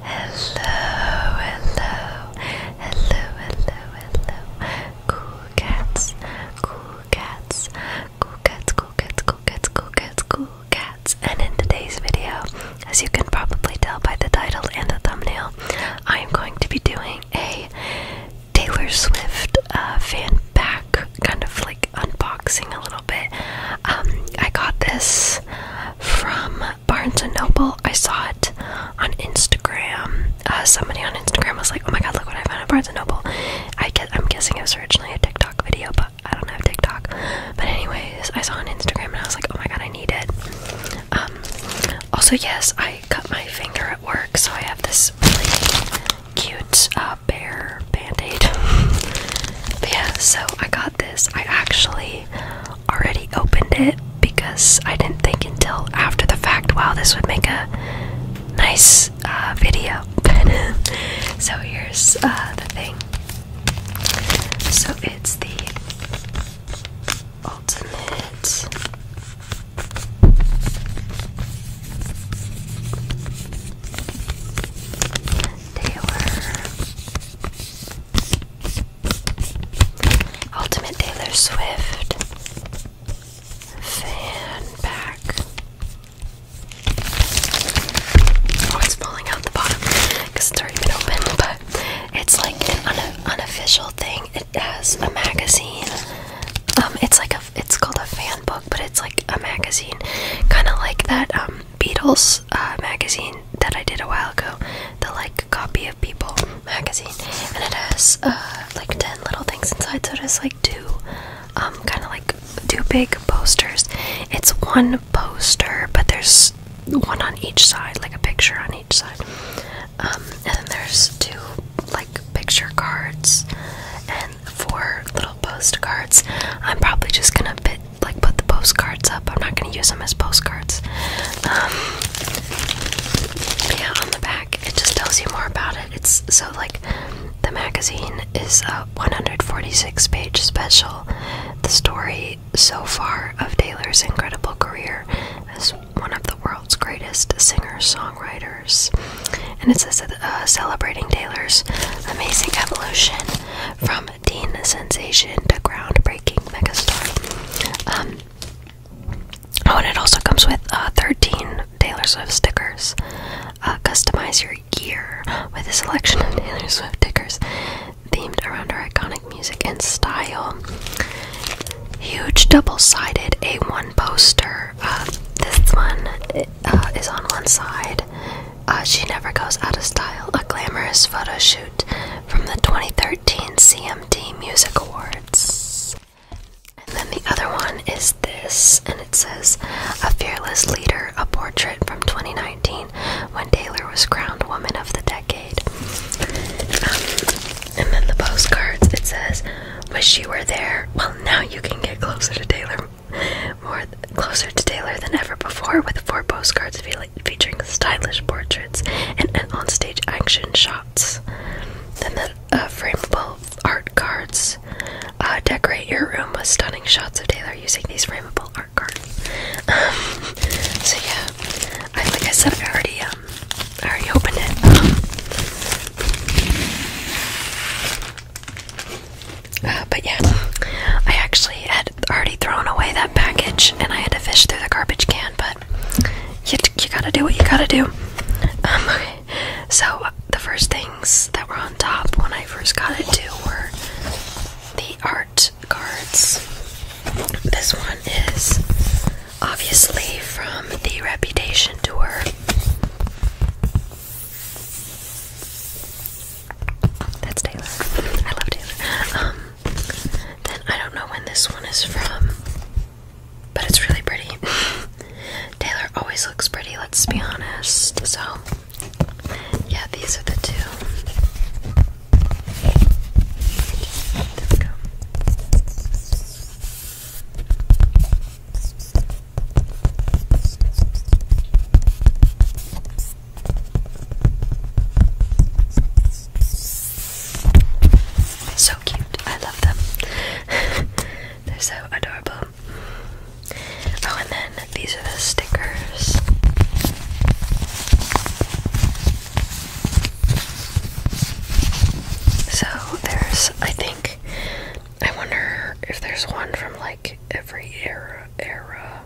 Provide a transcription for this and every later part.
hello, hello, hello, hello. Cool cats, cool cats, cool cats, cool cats, cool cats, cool cats, cool cats. And in today's video, as you can probably tell by the title and the thumbnail, I am going to be doing a Taylor Swift uh, fan pack, kind of like unboxing a little bit. Um, I got this from Barnes and Noble. I saw it on Instagram. Uh, somebody on Instagram was like, "Oh my God, look what I found at Barnes and Noble." I guess, I'm guessing it was originally a TikTok video, but I don't have TikTok. But anyways, I saw on Instagram and I was like, "Oh my God, I need it." Um, also, yes, I cut my finger at work, so I have this really cute uh, bear band aid. yeah, so I got this, I actually already opened it because I didn't think until after the fact, wow, this would make a nice uh, video. so here's uh, the thing. So it's the ultimate Taylor Ultimate Taylor Swift fan pack. Oh, it's falling out the bottom because it's already been opened, but it's like an unofficial thing. It has a magazine. Um, it's like a, it's called a fan book, but it's like a magazine, kind of like that um Beatles uh, magazine that I did a while ago, the like copy of People magazine, and it has uh, like 10 little things inside. So it has like two um, kind of like two big posters. It's one poster, but there's one on each side, like a picture on each side. Um, and then there's two like picture cards and four little postcards. I'm probably just gonna bit like put the postcards up. I'm not going to use them as postcards. Um, yeah, on the back it just tells you more about it. It's so like the magazine is a 146 page special. The story so far of Taylor's incredible career as one of the world's greatest singer-songwriters. And it says uh, celebrating Taylor's amazing evolution from from um, teen sensation to groundbreaking megastar. Um, oh, and it also comes with uh, 13 Taylor Swift stickers. Uh, customize your gear with a selection of Taylor Swift stickers themed around her iconic music and style. Huge double-sided A1 poster. Uh, this one is on one side, uh, she never goes out of style. A glamorous photo shoot from the 2013 CMT Music Awards. And then the other one is this, and it says A Fearless Leader, a portrait from 2019 when Taylor was crowned Woman of the Decade. Um, and then the postcards, it says, Wish you were there. Well, now you can get closer to Taylor, more closer to Taylor than ever before with four postcards feeling featuring stylish portraits and, on-stage action shots. Then the uh, frameable art cards uh, decorate your room with stunning shots of Taylor using these frameable art cards. Um, so yeah, like I said, I already um, already opened it. Uh, but yeah, I actually actually had already thrown away that package and I had to fish through the garbage can, but you, gotta do what you gotta do. Um, okay, so the first things that were on top when I first got it too were the art cards. This one is obviously from the Reputation Tour. That's Taylor. I love Taylor. Um, then I don't know when this one is from, but it's really pretty. Taylor always looks pretty, let's be honest. So, yeah, these are the two. There we go. So cute. I love them. They're so adorable. Oh, and then these are the stickers. So there's, I think, I wonder if there's one from like every era, era,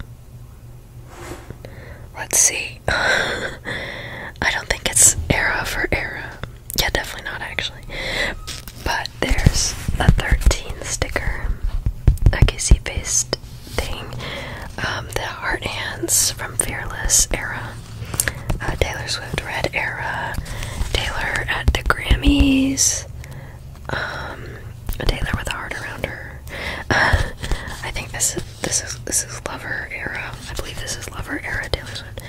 Let's see. I don't think it's era for era. Yeah, definitely not actually. But there's a 13 sticker, a kissy based thing, um, the heart hands from Fearless era, uh, Taylor Swift Red era, Taylor at the Grammys, um, Taylor with a heart around her. I think this is this is this is Lover era. I believe this is Lover era Taylor Swift.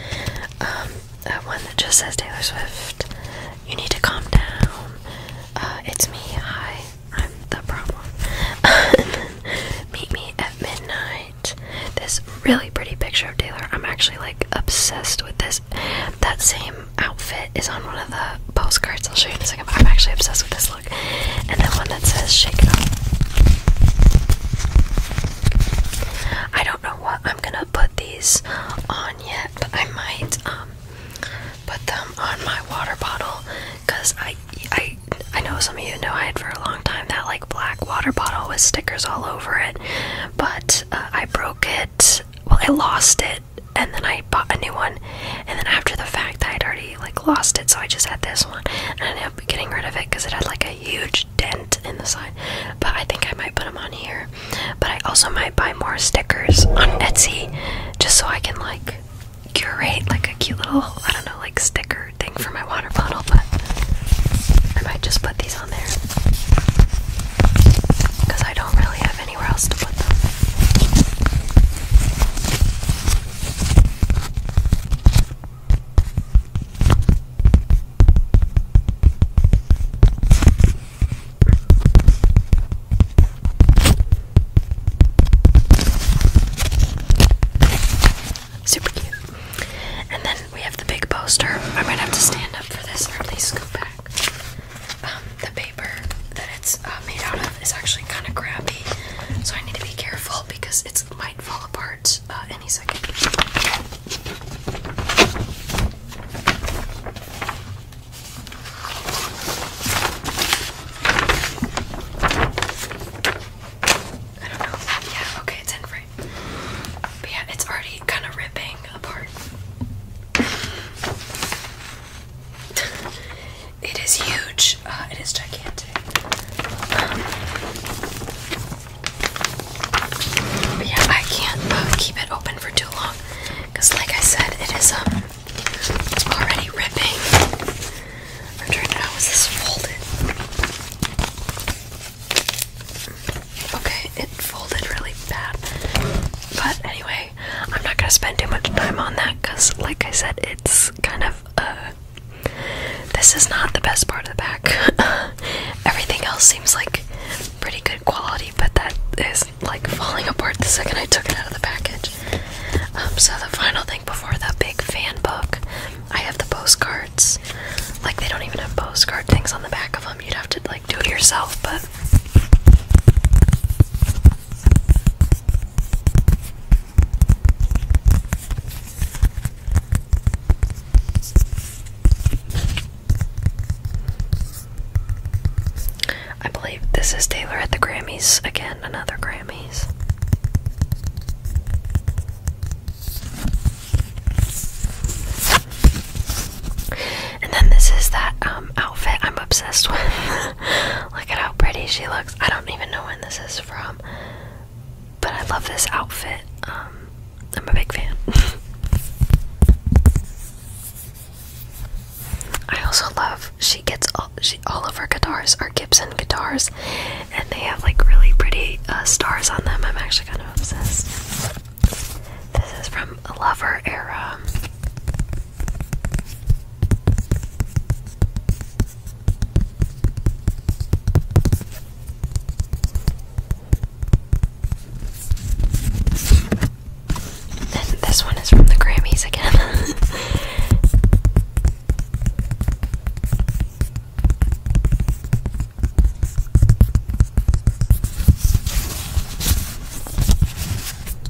that um, uh, one that just says Taylor Swift. You need to calm down. Uh, it's me. Hi, I'm the problem. Meet me at midnight. This really pretty picture of Taylor. I'm actually like obsessed with this. That same outfit is on one of the postcards. I'll show you in a second. But I'm actually obsessed with this and then one that says shake it up. I don't know what I'm gonna put these on yet, but I might um, put them on my water bottle because I I I know some of you know I had for a long time that like black water bottle with stickers all over it, but uh, I broke it. Well, I lost it and then I bought a new one and then after the fact I had already like lost it so I just had this one and I ended up getting rid of it because it had like a huge dent in the side but I think I might put them on here but I also might buy more stickers on Etsy just so I can like curate like a cute little I don't know like sticker thing for my water bottle but I might just put these on there because I don't really have anywhere else to put them. Super cute. And then we have the big poster. I might have to stand up for this or go back. Um, the paper that it's uh, made out of is actually kind of crappy, so I need to be careful because it might fall apart uh, any second. I don't know. Yeah, okay, it's in frame. yeah, it's already kind of ripping apart. It is huge. Uh, it is gigantic. yeah, I can't uh, keep it open for too long because, like I said, it is um it's already ripping. I'm trying to how is this folded? Okay, it folded really bad. But anyway, I'm not gonna spend too much time on that because, like I said, it's kind of uh, this is not the best part of the pack. Everything else seems like pretty good quality, but that is like falling apart the second I took it out of the package. Um, so the final thing before the big fan book, I have the postcards. Like they don't even have postcard things on the back of them. You'd have to like do it yourself, but I believe this is Taylor at the Grammys again, another Grammys. And then this is that um, outfit I'm obsessed with. Look at how pretty she looks. I don't even know when this is from, but I love this outfit. Um, I'm a big fan. I also love she gets all, she, all of her guitars are Gibson guitars, and they have like really pretty uh, stars on them. I'm actually kind of obsessed. This is from Lover Era this one is from the Grammys again.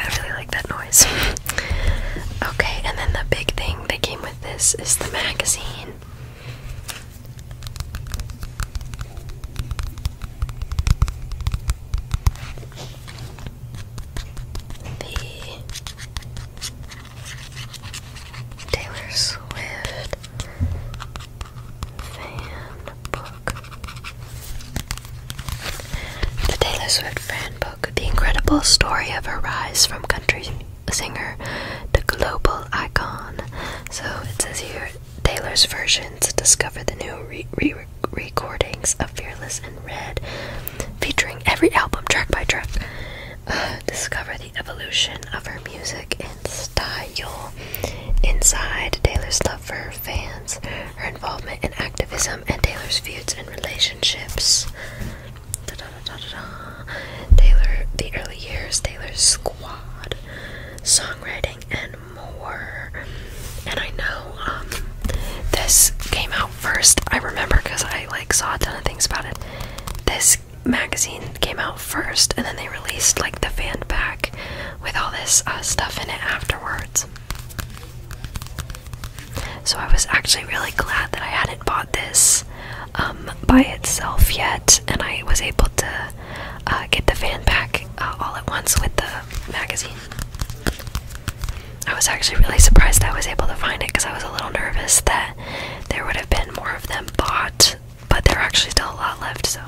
I really like that noise. Okay, and then the big thing that came with this is the magazine the Taylor Swift fan book. The Taylor Swift fan book, the incredible story of her rise from country singer to global icon. So it says here Taylor's versions discover the new recordings of Fearless and Red, featuring every album track by track. Uh, discover the evolution of her music and style. Inside Taylor's love for her fans, her involvement in activism, and Taylor's feuds and relationships. Taylor, the early years, Taylor's squad, songwriting, and more. And I know um, this came out first. I remember because I like saw a ton of things about it. This magazine came out first, and then they released like the fan pack with all this uh, stuff in it afterwards. So I was actually really glad that I hadn't bought this um, by itself yet, and I was able to uh, get the fan pack uh, all at once with the magazine. I was actually really surprised I was able to find it because I was a little nervous that there would have been more of them bought, but there are actually still a lot left, so.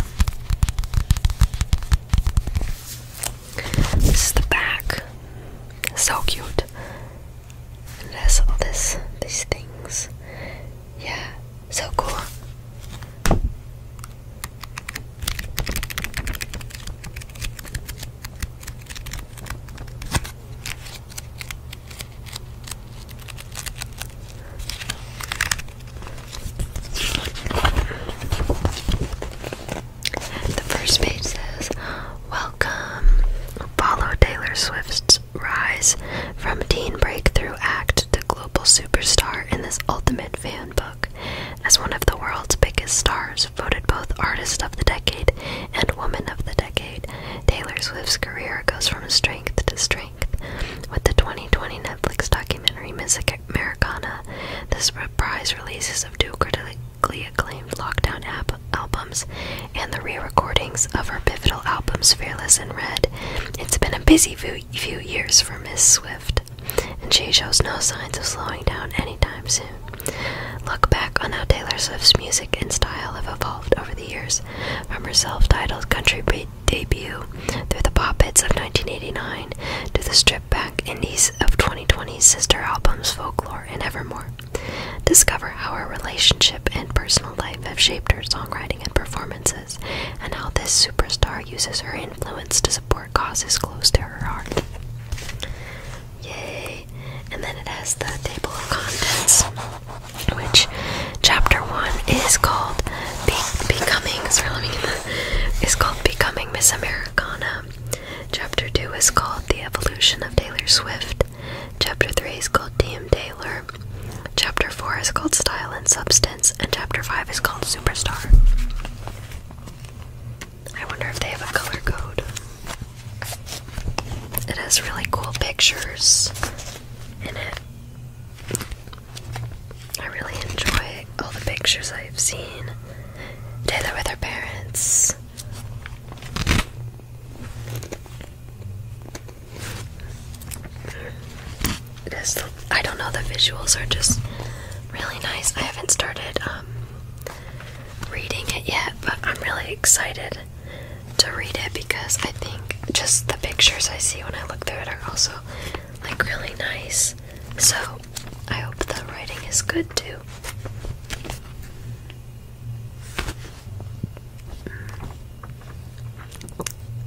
This is the back. So cute. it has all this these things. Yeah, so cool. The first page says, Welcome. Follow Taylor Swift's rise from teen breakthrough act to global superstar in this ultimate fan as one of the world's biggest stars, voted both Artist of the Decade and Woman of the Decade, Taylor Swift's career goes from strength to strength. With the 2020 Netflix documentary Music Americana, the surprise releases of two critically acclaimed lockdown albums, and the re recordings of her pivotal albums Fearless and Red, it's been a busy few years for Miss Swift and she shows no signs of slowing down anytime soon. Look back on how Taylor Swift's music and style have evolved over the years, from her self titled country debut through the pop hits of 1989 to the stripped back indies of 2020's sister albums Folklore and Evermore. Discover how her relationship and personal life have shaped her songwriting and performances and how this superstar uses her influence to support causes close to her heart. Yay! And then it has the table of contents, which chapter one is called Becoming. Sorry, called Becoming Miss Americana. Chapter two is called The Evolution of Taylor Swift. Chapter three is called D.M. Taylor. Chapter four is called Style and Substance and Chapter 5 is called Superstar. I wonder if they have a color code. It has really cool pictures in it. I really enjoy all the pictures I've seen together with her parents. I don't know, the visuals are just really nice. I haven't started um, reading it yet, but I'm really excited to read it because I think just the pictures I see when I look through it are also like really nice. So I hope the writing is good too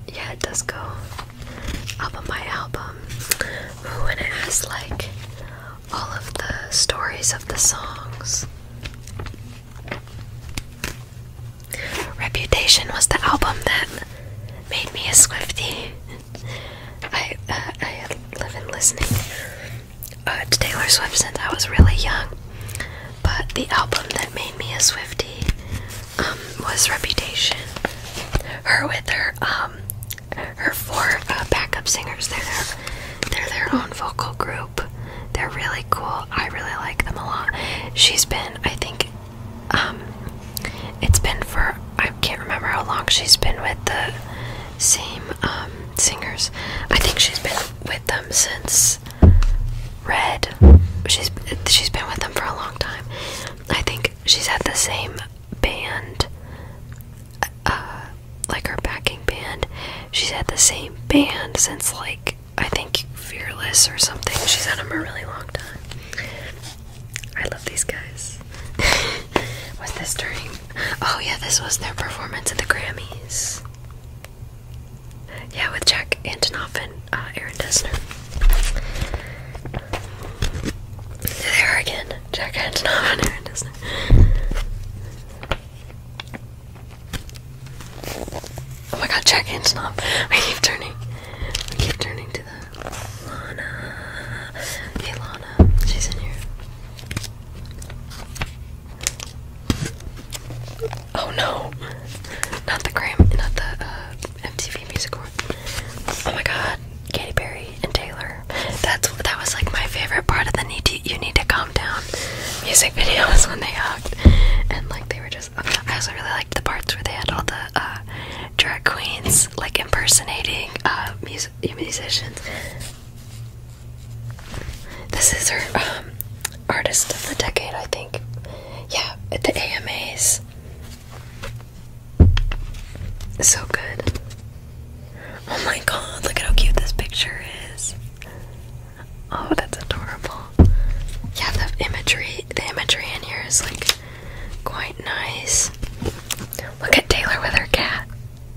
yeah, it does go up on my album. and it has like all of the stories of the songs. Reputation was the album that made me a Swiftie. I, uh, I live in listening uh, to Taylor Swift since I was really young, but the album that made me a Swiftie. Um, was Reputation. Her with her um, her four uh, backup singers. They're they're their own vocal group. They're really cool. I really like them a lot. She's been, I think, um, it's been for I can't remember how long she's been with the same um, singers. I think she's been with them since Red. She's she's been with them for a long time. I think she's had the same band uh, like her backing band she's had the same band since like i think fearless or something she's had them a really long time i love these guys What's this during oh yeah this was their performance at the grammys yeah with jack antonoff and uh, aaron dessner there again. Jack Antonoff and Aaron Dessner. Oh my god, Jack Antonoff. I keep turning. I keep turning to the Lana. Hey she's in here. Oh no. Not the Graham, not the uh, MTV Music Award. Oh my God, Katy Perry and Taylor. That's that was like my favorite part of the need to, you need to calm down music videos when they hugged and like they were just. I also really liked the parts where they had all the uh, drag queens like impersonating uh, music musicians. This is her um, artist of the decade, I think. Yeah, at the AMAs. So good. Oh my god, look at how cute this picture is. Oh, that's adorable. Yeah, the imagery the imagery in here is like quite nice. Look at Taylor with her cat.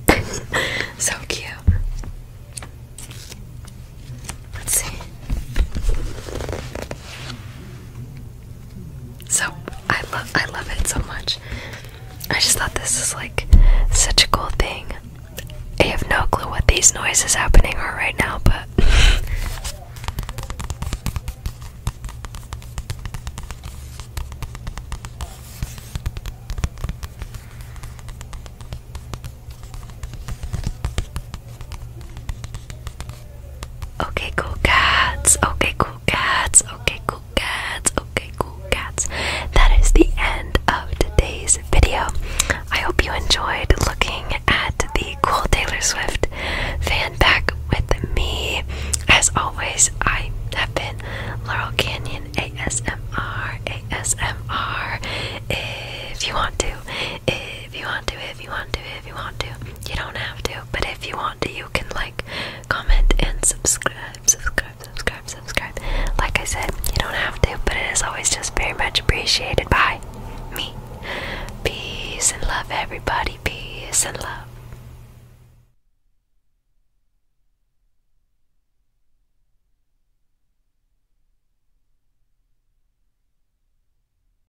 so cute. Let's see. So I love I love it so much. I just thought this is like such a cool thing. I have no clue what these noises happening are right now, but Okay, cool cats. Okay, cool cats. Okay, cool cats. Okay, cool cats. That is the end of today's video. I hope you enjoyed looking at the cool Taylor Swift fan back with me. As always, I have been Laurel Canyon ASMR ASMR. If you want to, if you want to, if you want to, if you want to, you don't have to but if you want to, you can like, comment, and subscribe, subscribe, subscribe, subscribe. Like I said, you don't have to, but it is always just very much appreciated by me. Peace and love, everybody. Peace and love.